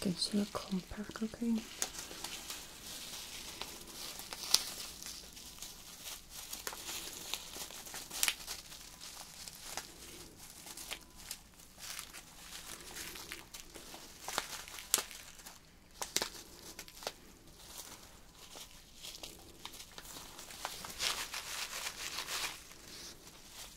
Gives you a cold pack, okay?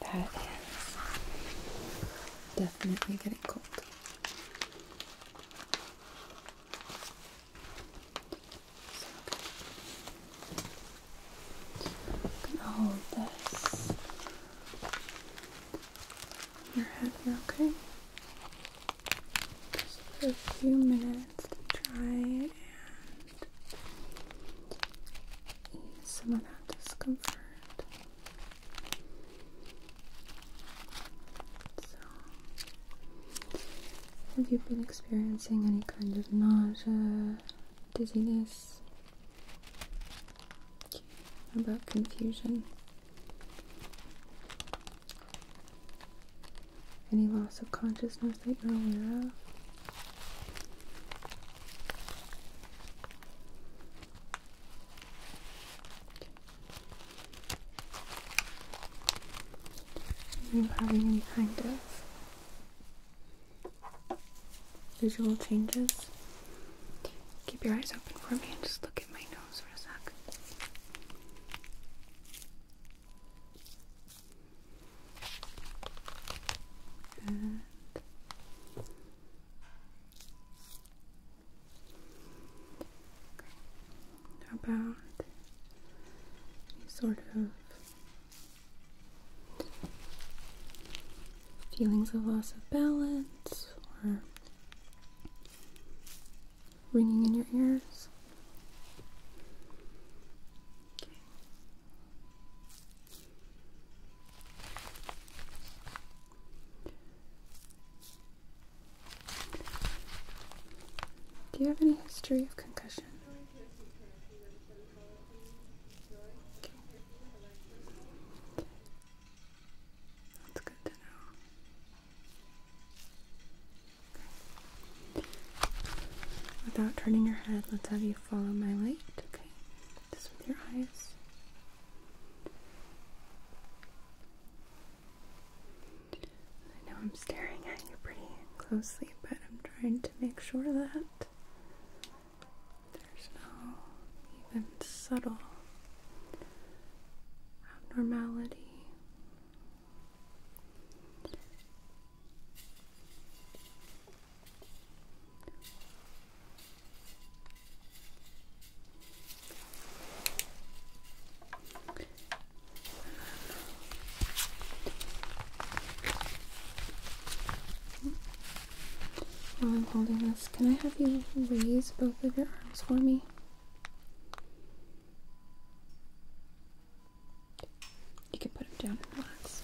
That is definitely getting cold. So, I'm hold this your head here, okay? Just a few minutes to try and some of that discomfort. So, have you been experiencing any kind of nausea, dizziness? How about confusion? Any loss of consciousness that you're aware of? Are you having any kind of visual changes? Keep your eyes open for me and just look at my nose for a sec. Good. How about sort of feelings of loss of balance or ringing in your ears? Do you have any history of concussion? That's good to know. Without turning your head, let's have you follow my light, okay? Just with your eyes. I know I'm staring at you pretty closely, but I'm trying to make sure that there's no even subtle abnormality. While I'm holding this, can I have you raise both of your arms for me? You can put him down and relax.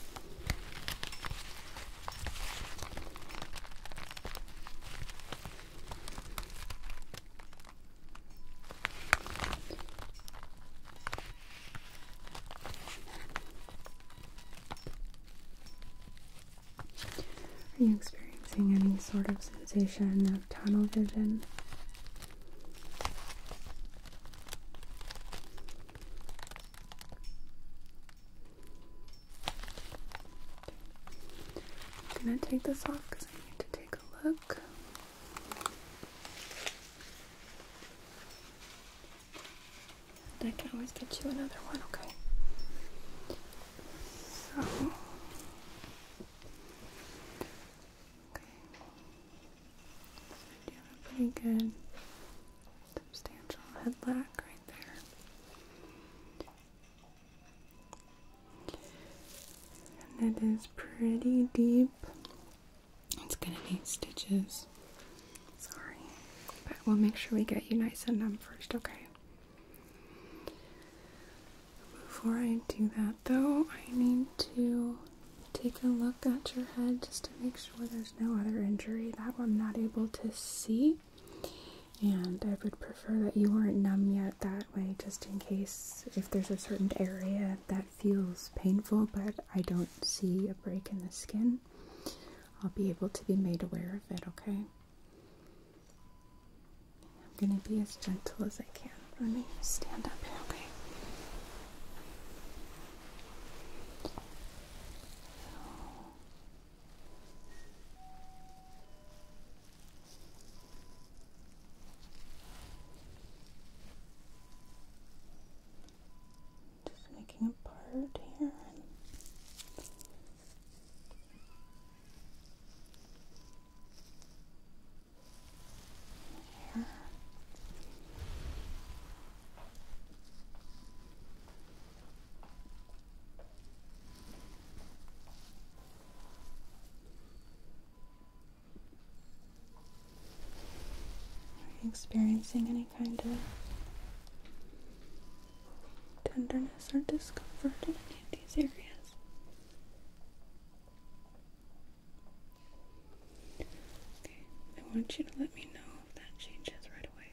Are you experiencing any sort of sensation of tunnel vision? I'm gonna take this off because I need to take a look. I can always get you another one, okay? So okay. So pretty good substantial head lack right there. And it is pretty deep. It's gonna need stitches. Sorry. But we'll make sure we get you nice and numb first, okay? Before I do that though, I need to take a look at your head just to make sure there's no other injury that I'm not able to see. And I would prefer that you weren't numb yet that way, just in case if there's a certain area that feels painful, but I don't see a break in the skin, I'll be able to be made aware of it, okay? I'm gonna be as gentle as I can. Let me stand up okay? So just making a part here. Here. Are you experiencing any kind of tenderness or discomfort in any of these areas? Okay, I want you to let me know if that changes right away.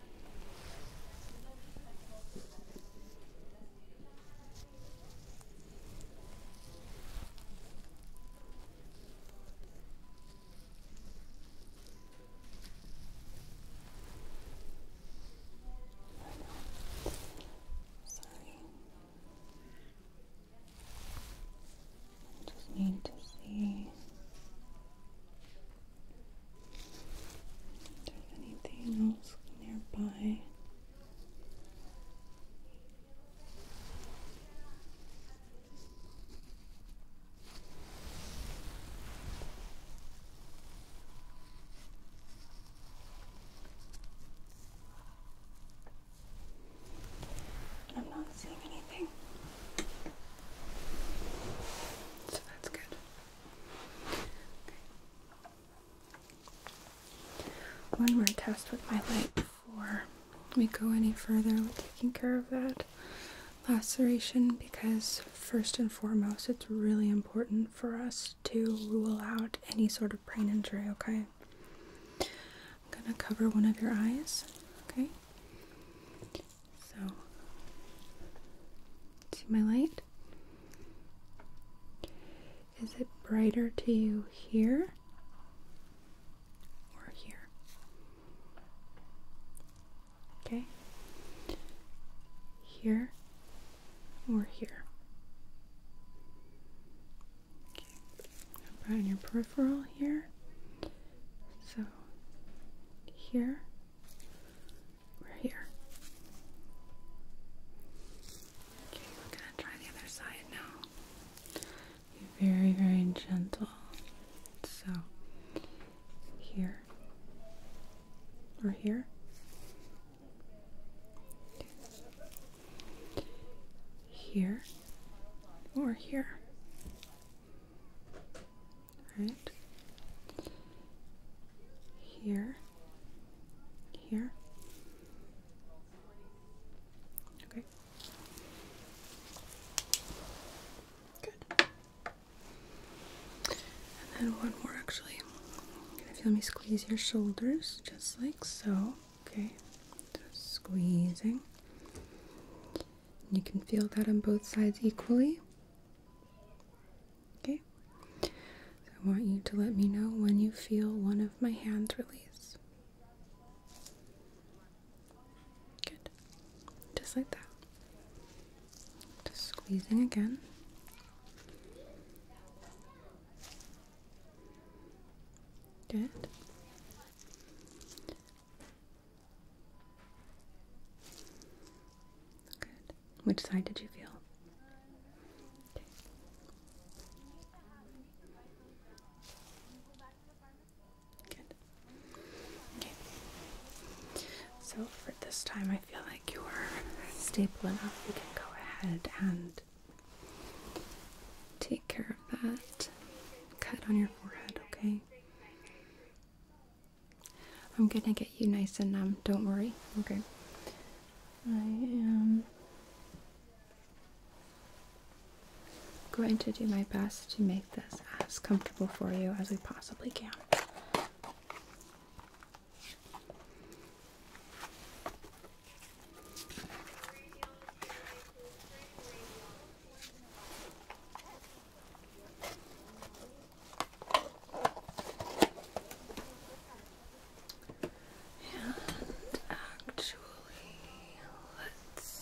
Sorry. I just need to see there's anything else nearby? I'm not seeing anything. So that's good. One more test with my light before we go any further with taking care of that laceration because, first and foremost, it's really important for us to rule out any sort of brain injury, okay? I'm gonna cover one of your eyes, okay? So, see my light? Is it brighter to you here or here? Okay. Here or here? Okay. How about in your peripheral here? So here we're here. Okay, we're gonna try the other side now. very, very gentle. So, here or here. Okay. Here or oh, here. All right. Here here. Okay. Good. And then one more actually. If you let me squeeze your shoulders just like so. Okay. squeezing. You can feel that on both sides equally. Okay? I want you to let me know when you feel one of my hands release. Good. Just like that. Just squeezing again. Good. Good. Which side did you feel? Okay. Good. Okay. So for this time, I feel like you're stable enough. We can go ahead and take care of that cut on your forehead, okay? I'm gonna get you nice and numb, don't worry, okay? I am going to do my best to make this as comfortable for you as we possibly can. And actually, let's.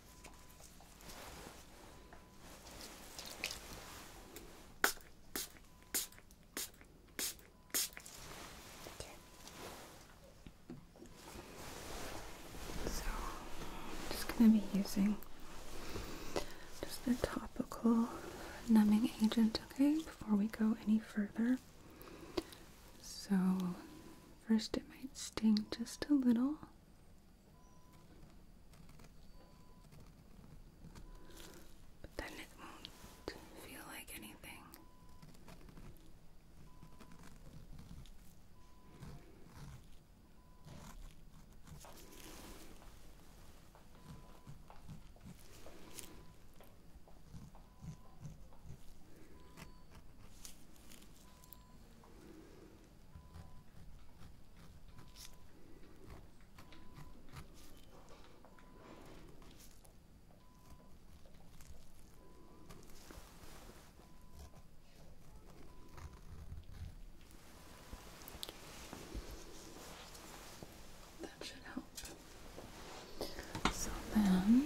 So I'm just going to be using just a topical numbing agent, okay, before we go any further. So first it might sting just a little. But then it won't feel like anything. That should help. So then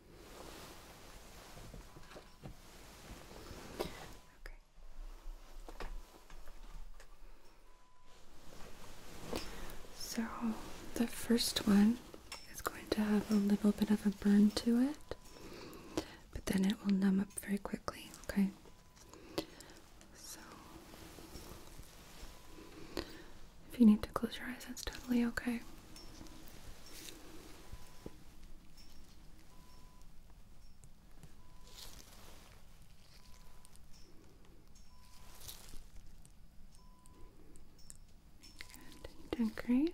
Okay. So the first one is going to have a little bit of a burn to it, but then it will numb up very quickly, okay? So if you need to close your eyes, that's totally okay. Good. Decorate.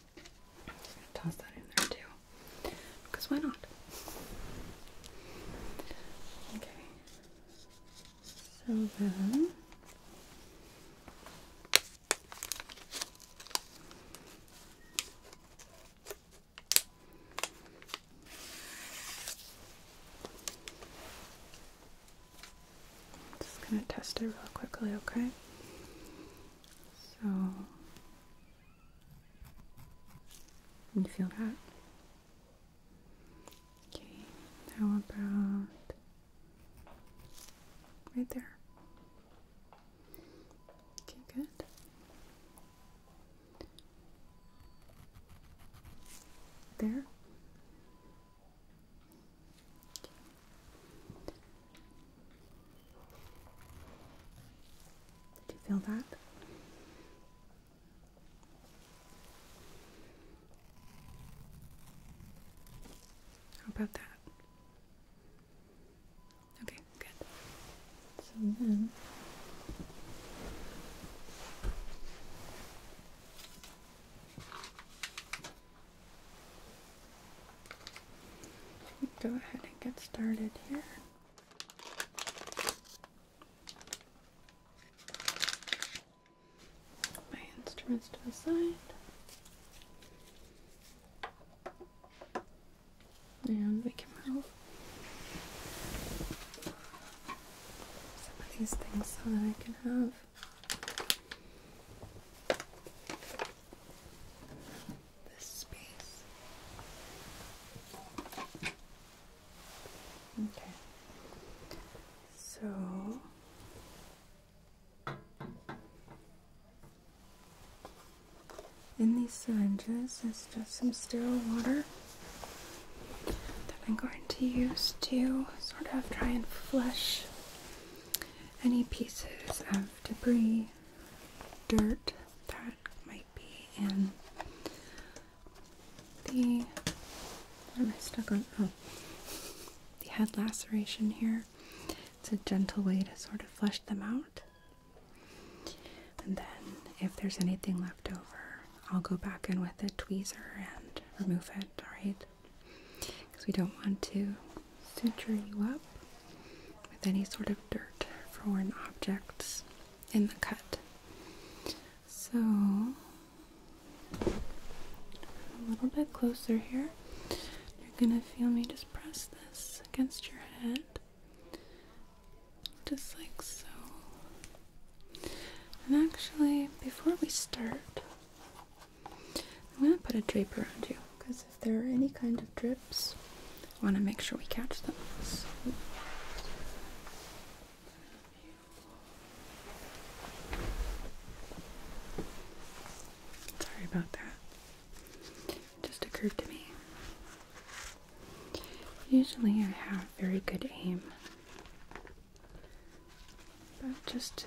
Just gonna Toss that in there too. Because why not? Okay. So then I'm just gonna test it real quickly, okay? So you feel that? Okay, how about right there? Okay, good. There. Did you feel that? How about that? Okay, good. So then go ahead and get started here my instruments to the side. And we can move some of these things so that I can have this space. Okay. So in these syringes is just some sterile water that I'm going to use to sort of try and flush any pieces of debris, dirt that might be in the am I stuck on? Oh. the head laceration here. It's a gentle way to sort of flush them out. And then, if there's anything left over, I'll go back in with a tweezer and remove it, alright? Because we don't want to suture you up with any sort of dirt foreign objects in the cut. So, a little bit closer here. You're gonna feel me just press this against your head, just like so. And actually, before we start, I'm gonna put a drape around you because if there are any kind of drips. I want to make sure we catch them. Sorry about that. just occurred to me. Usually I have very good aim. But just to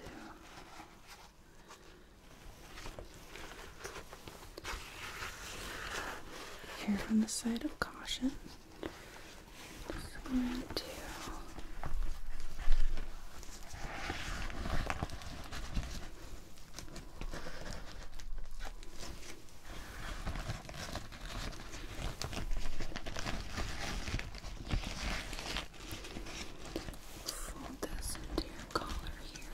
here from the side of caution. Just going to fold this into your collar here.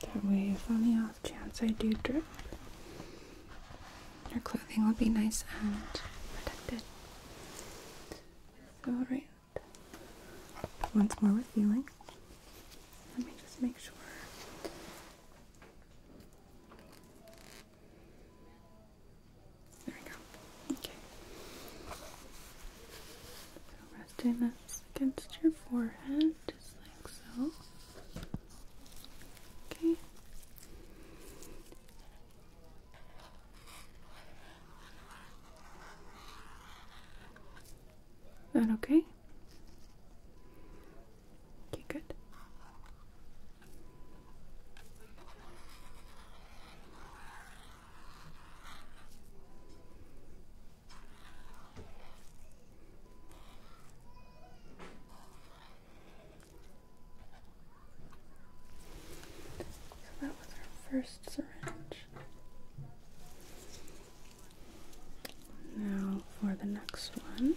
That way, if on the off chance I do drip, your clothing will be nice and protected. alright. Once more with feeling. Let me just make sure. There we go. Okay resting this against your forehead, just like so. Okay. That okay? Okay, good. So that was our first syringe. Now for the next one.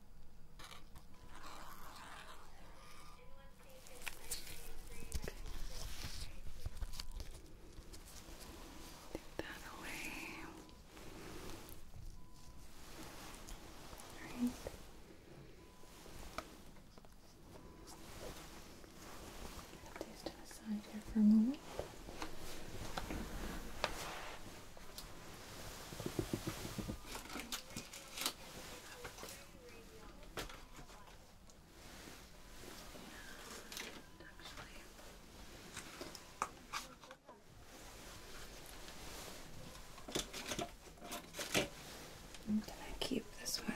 Take that away. All right. Put these to the side here for a moment. I'm gonna keep this one.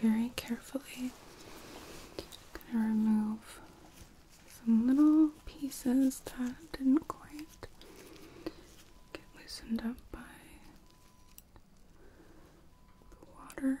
very carefully, gonna remove some little pieces that didn't quite get loosened up by the water.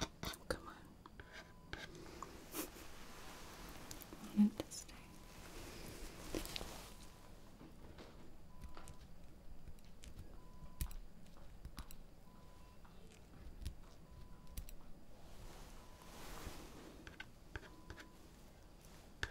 Oh, come on. I want it to stay. Okay.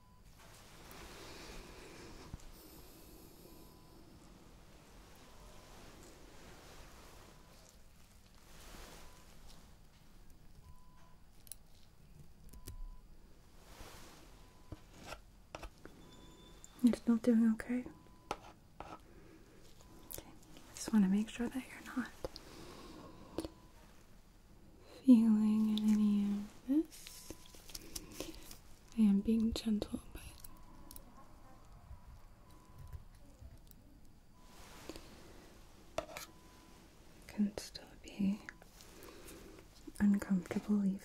You're still doing okay. Okay, I just want to make sure that you're not feeling in any of this. I am being gentle, but can still be uncomfortable even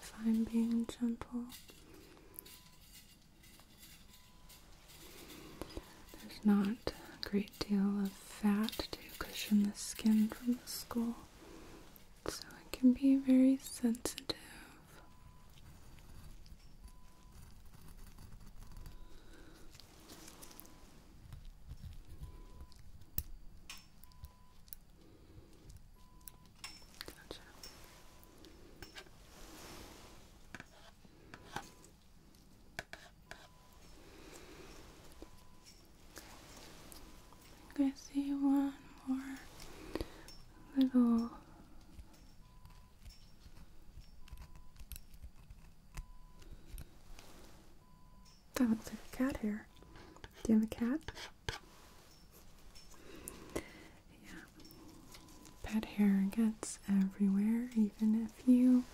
if I'm being gentle. There's not a great deal of fat to cushion the skin from the skull, so it can be very sensitive. Gotcha i see one more little that looks like a cat hair. Do you have a cat? Yeah. Pet hair gets everywhere, even if you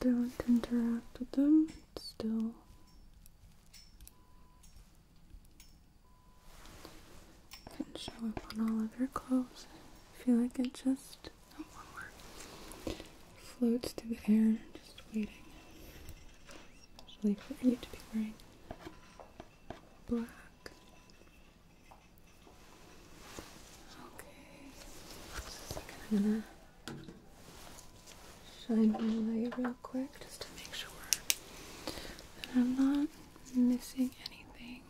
don't interact with them, still can show up on all of your clothes. I feel like it just oh, floats to the air, just waiting. Especially for you to be wearing black. Okay, shine my light real quick just to make sure that I'm not missing anything.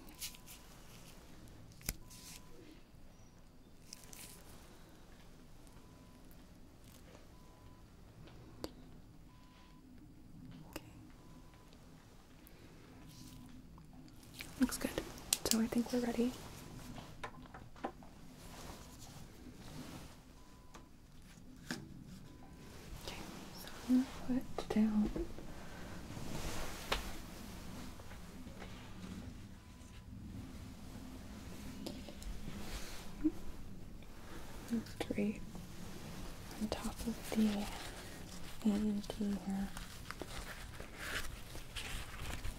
Okay. Looks good. So I think we're ready. Okay, so I'm gonna put down three on top of the A here.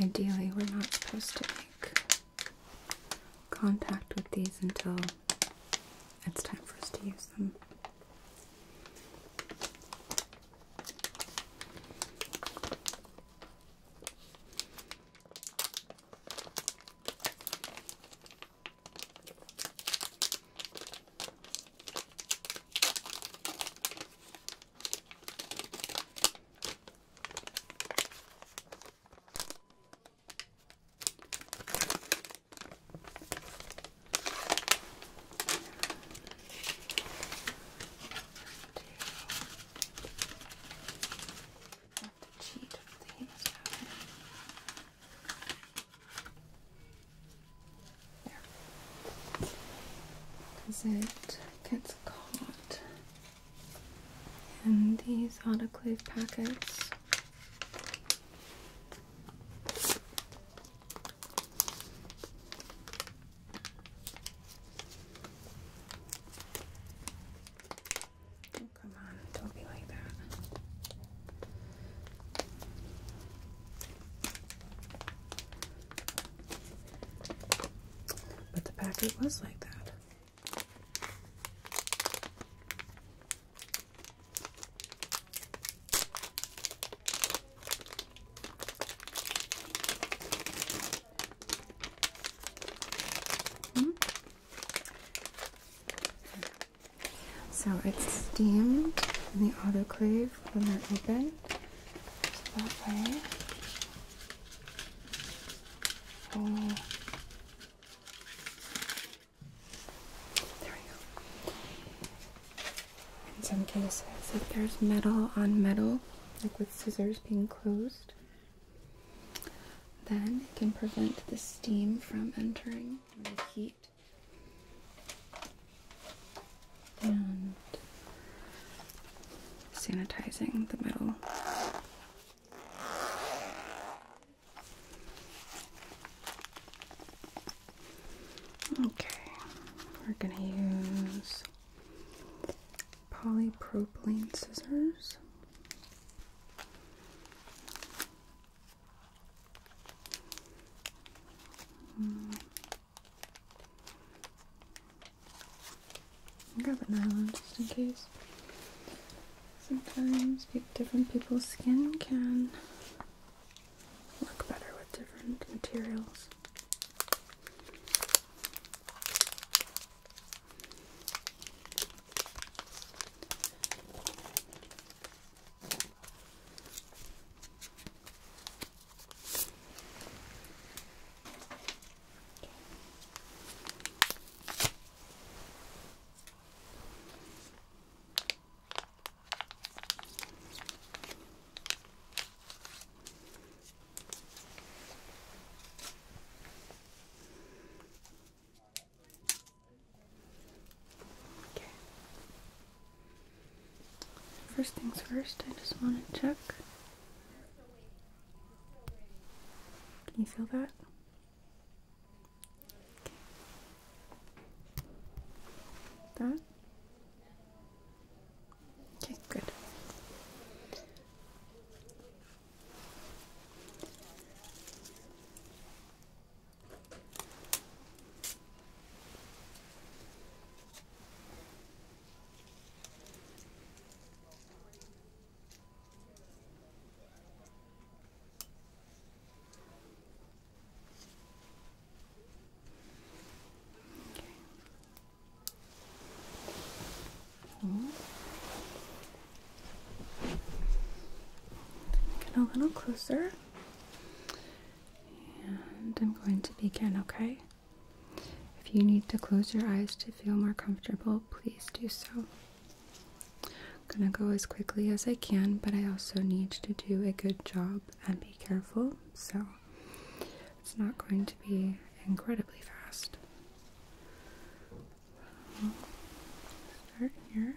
Ideally, we're not supposed to make contact with these until it's time for us to use them cheat Because it gets caught in these autoclave packets come on, don't be like that. But the packet was like that. Hmm? So it's steamed in the autoclave when they're open. that way, oh. In some cases, if there's metal on metal, like with scissors being closed, then it can prevent the steam from entering the heat. And sanitizing the metal. Okay, we're going to use polypropylene scissors. Mm. Grab a nylon just in case. Sometimes different people's skin can look better with different materials. First things first, I just want to check. Can you feel that? That. Okay, good. Get a little closer, and I'm going to begin, okay? If you need to close your eyes to feel more comfortable, please do so. I'm gonna go as quickly as I can, but I also need to do a good job and be careful, so it's not going to be incredibly fast. start here.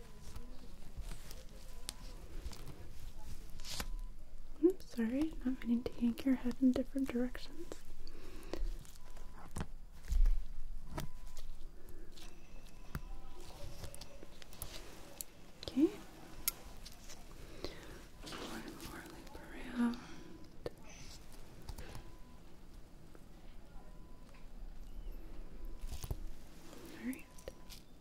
I'm sorry, not meaning to yank your head in different directions. Okay. One more loop around. Alright.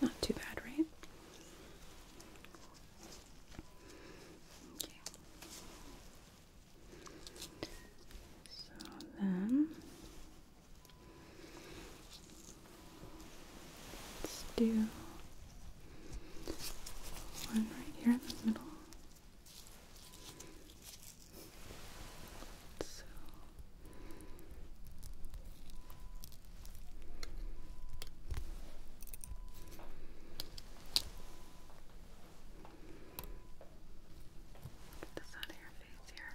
Not too bad, right? Okay. So then let's do one right here in the middle. So Get this of your face here.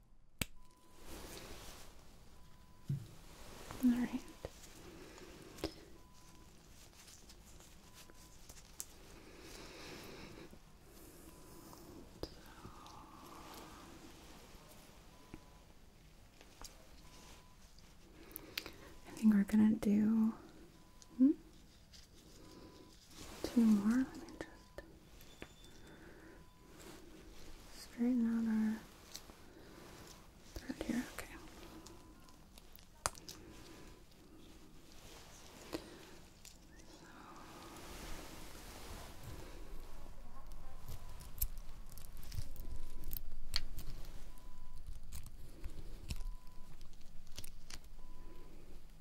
All right. I think we're gonna do. Hmm? two more. Let me just straighten out our thread here. Okay.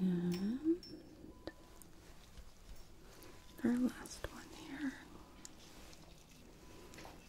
And our last one here.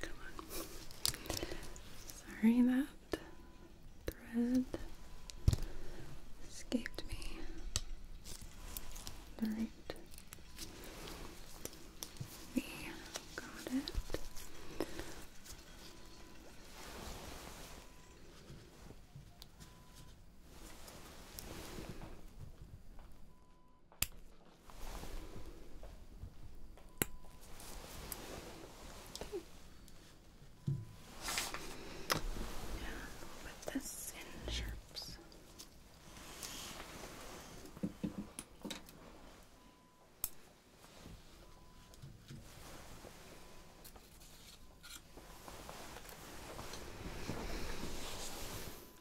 Come on. Sorry that thread escaped me. All right. We got it. Okay. And we'll put this in sharps.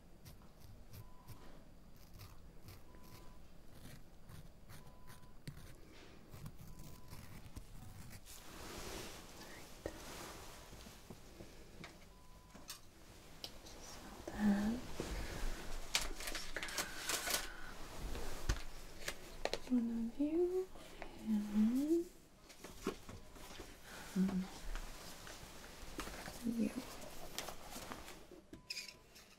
So then, one of you and you.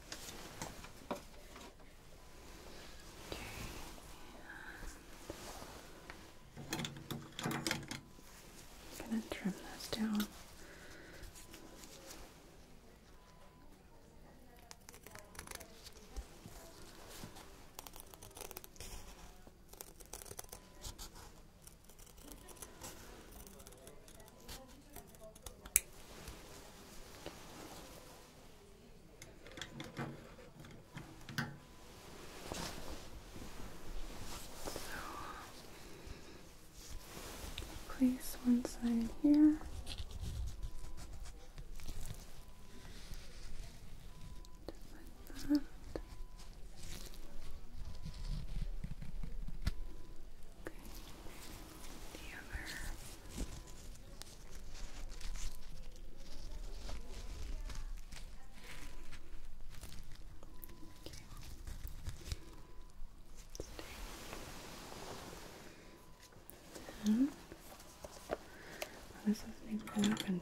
Okay, I'm gonna trim this down place one side here. Just like that. Okay. Hmm. the other. Okay. Then, well, this hasn't even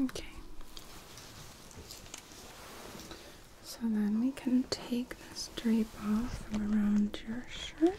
Okay. So then we can take this drape off from around your shirt.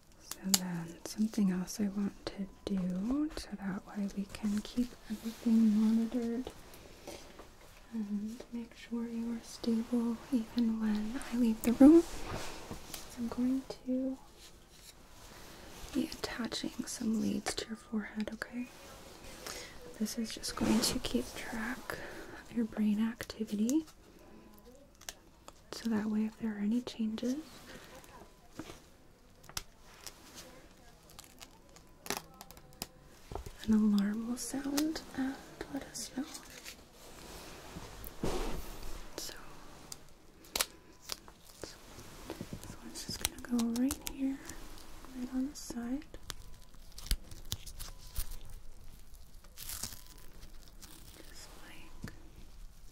So then something else I want to do so that way we can keep everything monitored and make sure you are stable even when I leave the room. I'm going to be attaching some leads to your forehead, okay? This is just going to keep track of your brain activity so that way if there are any changes an alarm will sound and let us know. So, so it's just gonna go right here, right on the side. Just like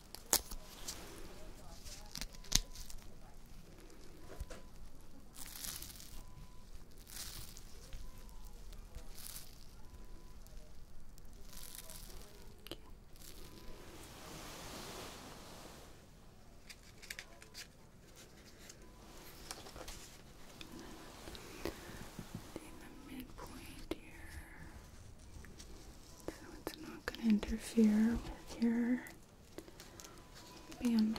in the midpoint here, so it's not not going to interfere with your bandage.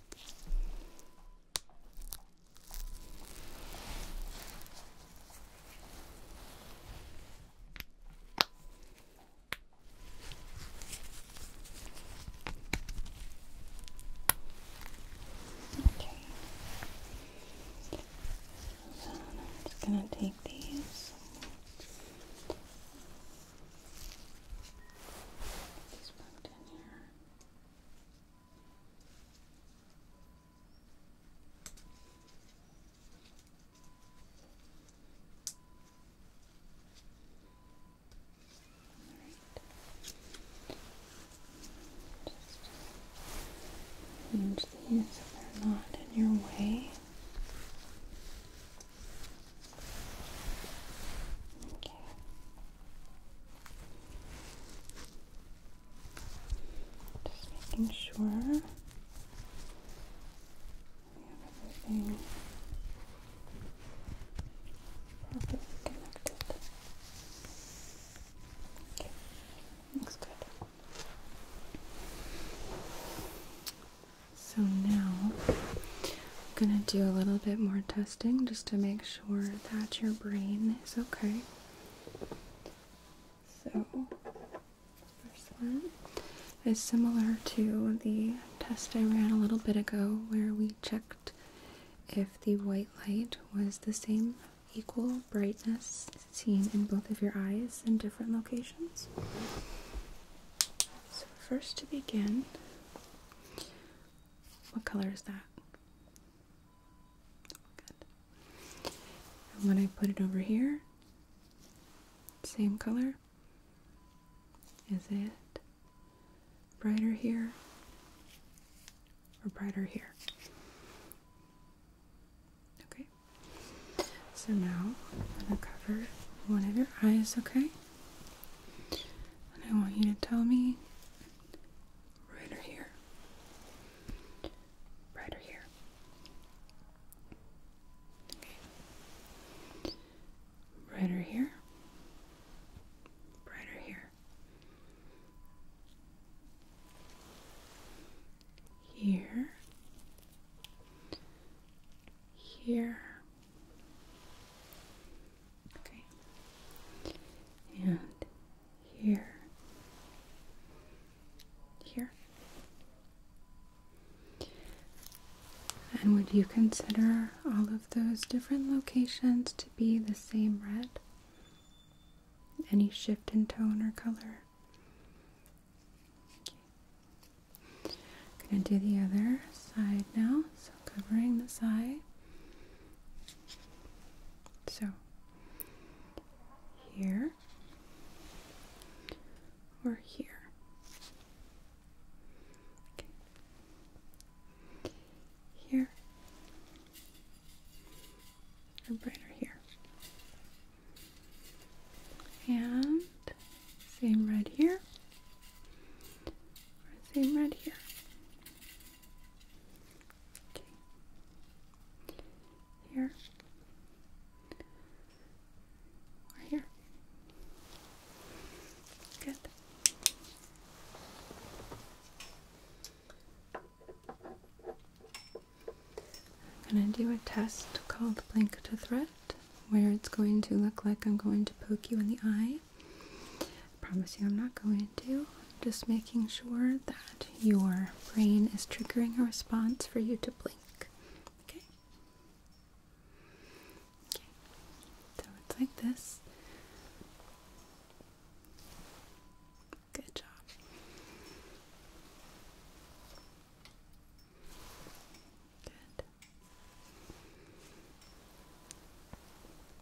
Okay. So I'm just gonna take these. These back down here. Arrange these so they're not in your way. Just making sure we have everything connected. Okay, looks good. So now I'm gonna do a little bit more testing just to make sure that your brain is okay. So, first one is similar to the test I ran a little bit ago where we checked if the white light was the same equal brightness seen in both of your eyes in different locations. So, first to begin, what color is that? And when I put it over here, same color. Is it brighter here or brighter here? Okay. So now I'm going to cover one of your eyes, okay? And I want you to tell me right or here. Right or here. Okay. Right or here. Right or here. Here. Here. Okay. And here. Here. And would you consider all of those different locations to be the same red? Any shift in tone or color? Okay. I'm going to do the other side now covering the side, So here or here. Here or brighter here. And same red here. same red here. Here. Or here. Good. I'm going to do a test called blink to threat, where it's going to look like I'm going to poke you in the eye I promise you I'm not going to. just making sure that your brain is triggering a response for you to blink. Okay? Okay. So it's like this. Good job. Good.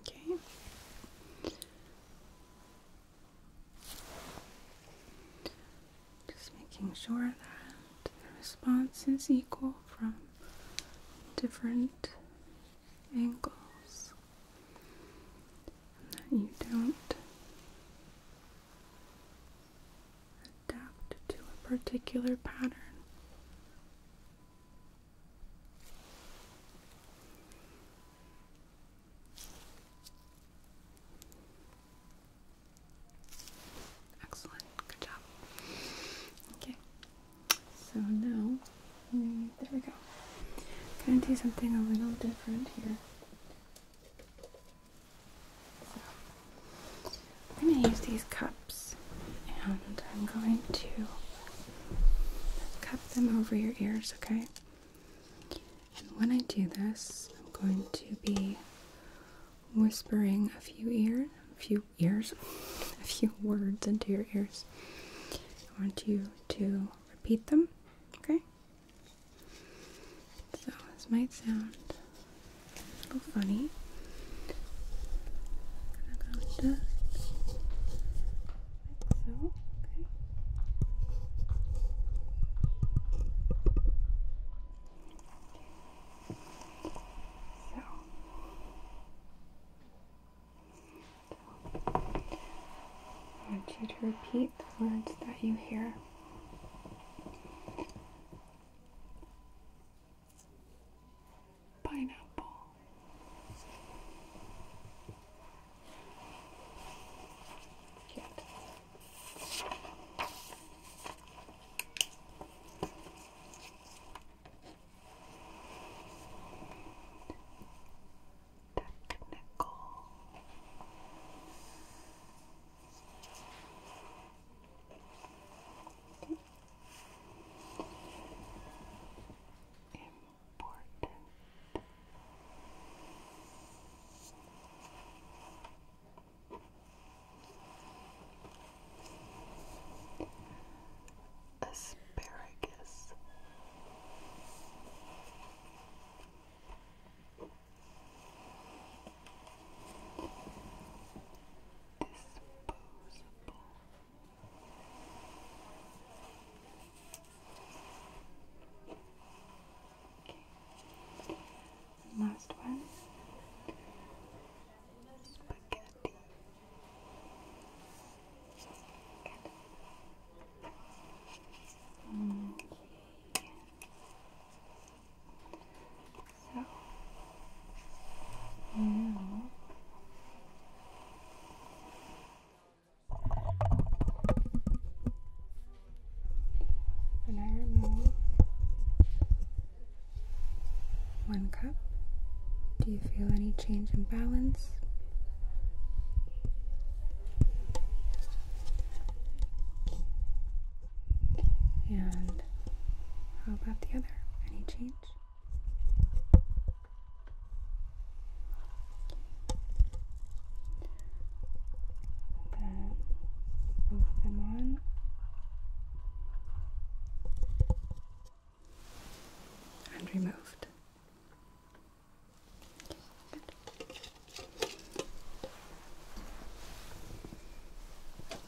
Okay. Just making sure that the response is equal from different angles and that you don't adapt to a particular pattern. Excellent, good job. Okay, so now mm, there we go. I'm gonna do something a little different here. I'm going to use these cups and I'm going to cup them over your ears, okay? And when I do this, I'm going to be whispering a few ear, a few ears, a few words into your ears. I want you to repeat them, okay? So this might sound a little funny. so. Okay. So. I want you to repeat the words that you hear pineapple. Technical Important. Asparagus. Disposable. Okay. Last one. Spaghetti. Okay. So now I remove one cup, do you feel any change in balance? And how about the other? Any change? Then move them on. And removed.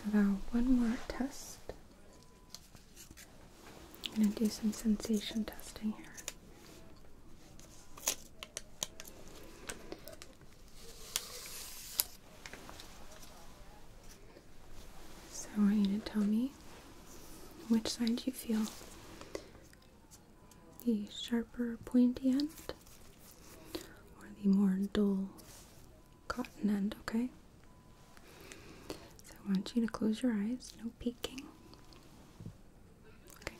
Okay. one more test I'm going to do some sensation testing here. So I want you to tell me which side you feel the sharper pointy end or the more dull cotton end, okay? So I want you to close your eyes, no peeking. Good.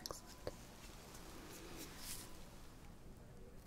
Excellent.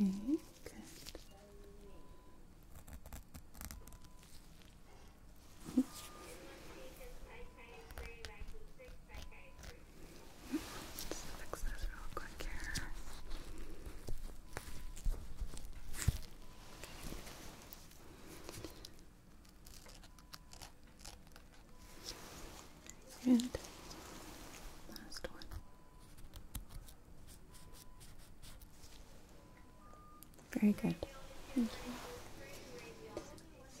Okay, good. Let's fix this real quick here. And last one. Very good.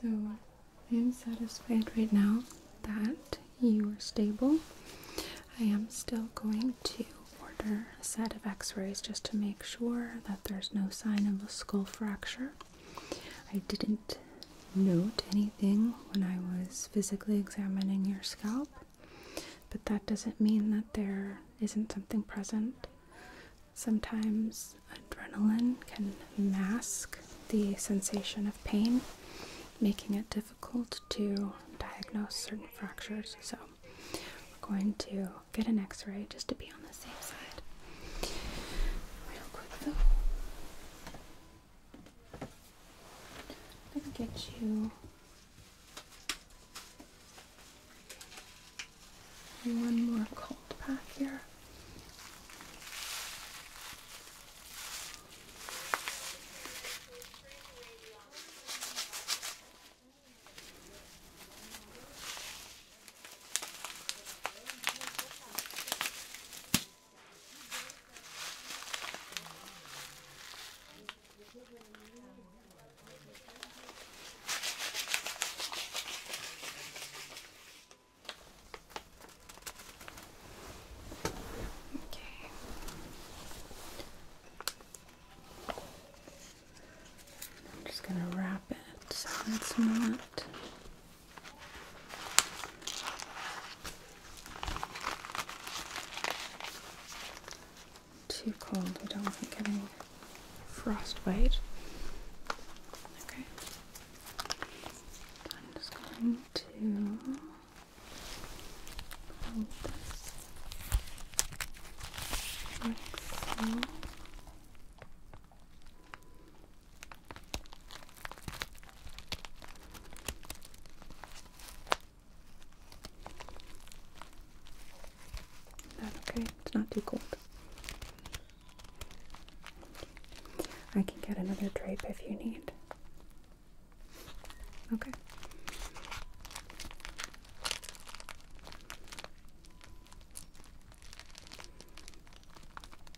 So I am satisfied right now that you are stable. I am still going to order a set of x-rays just to make sure that there's no sign of a skull fracture. I didn't note anything when I was physically examining your scalp, but that doesn't mean that there isn't something present. Sometimes adrenaline can mask the sensation of pain, making it difficult to diagnose certain fractures. So, we're going to get an x ray just to be on the safe side. Real quick though. Let's get you one more cold pack here. I'm just going to wrap it so it's not too cold, I don't want getting frostbite. Okay. I'm just going to hold this like so. That okay? It's not too cold. I can get another drape if you need. Okay.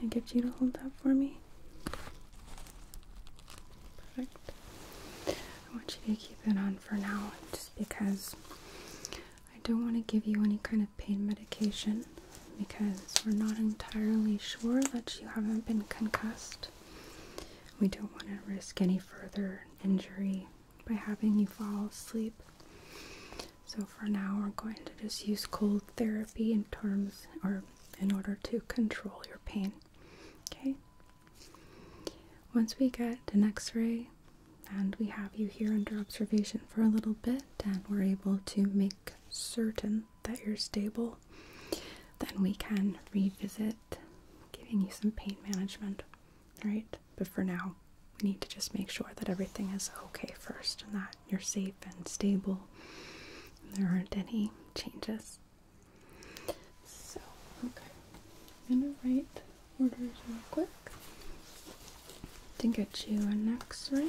Can I get you to hold that for me? Perfect. I want you to keep it on for now just because I don't want to give you any kind of pain medication because we're not entirely sure that you haven't been concussed. We don't want to risk any further injury by having you fall asleep. So for now, we're going to just use cold therapy in terms or in order to control your pain. Okay. Once we get an x ray and we have you here under observation for a little bit and we're able to make certain that you're stable, then we can revisit giving you some pain management. right? But for now, we need to just make sure that everything is okay first and that you're safe and stable there aren't any changes. So, okay. I'm gonna write orders real quick to get you an x ray.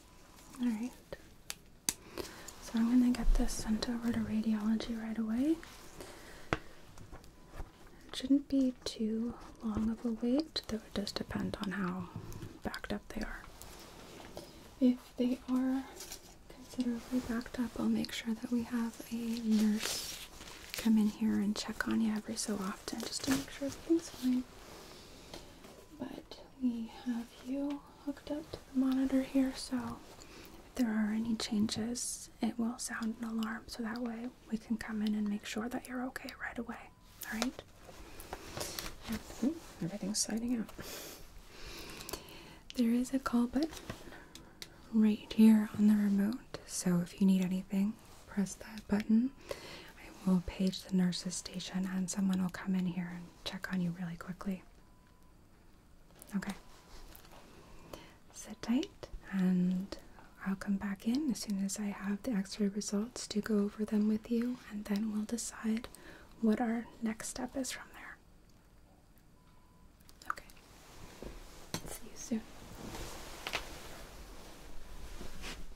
Alright. So I'm going to get this sent over to radiology right away. It shouldn't be too long of a wait, though it does depend on how backed up they are. If they are considerably backed up, I'll make sure that we have a nurse come in here and check on you every so often just to make sure everything's fine. But we have you hooked up to the monitor here, so if there are any changes, it will sound an alarm so that way we can come in and make sure that you're okay right away. All right? everything's sliding out. There is a call button right here on the remote, so if you need anything, press that button I will page the nurse's station and someone will come in here and check on you really quickly. Okay. Sit tight and I'll come back in as soon as I have the x ray results to go over them with you, and then we'll decide what our next step is from there. Okay. See you soon.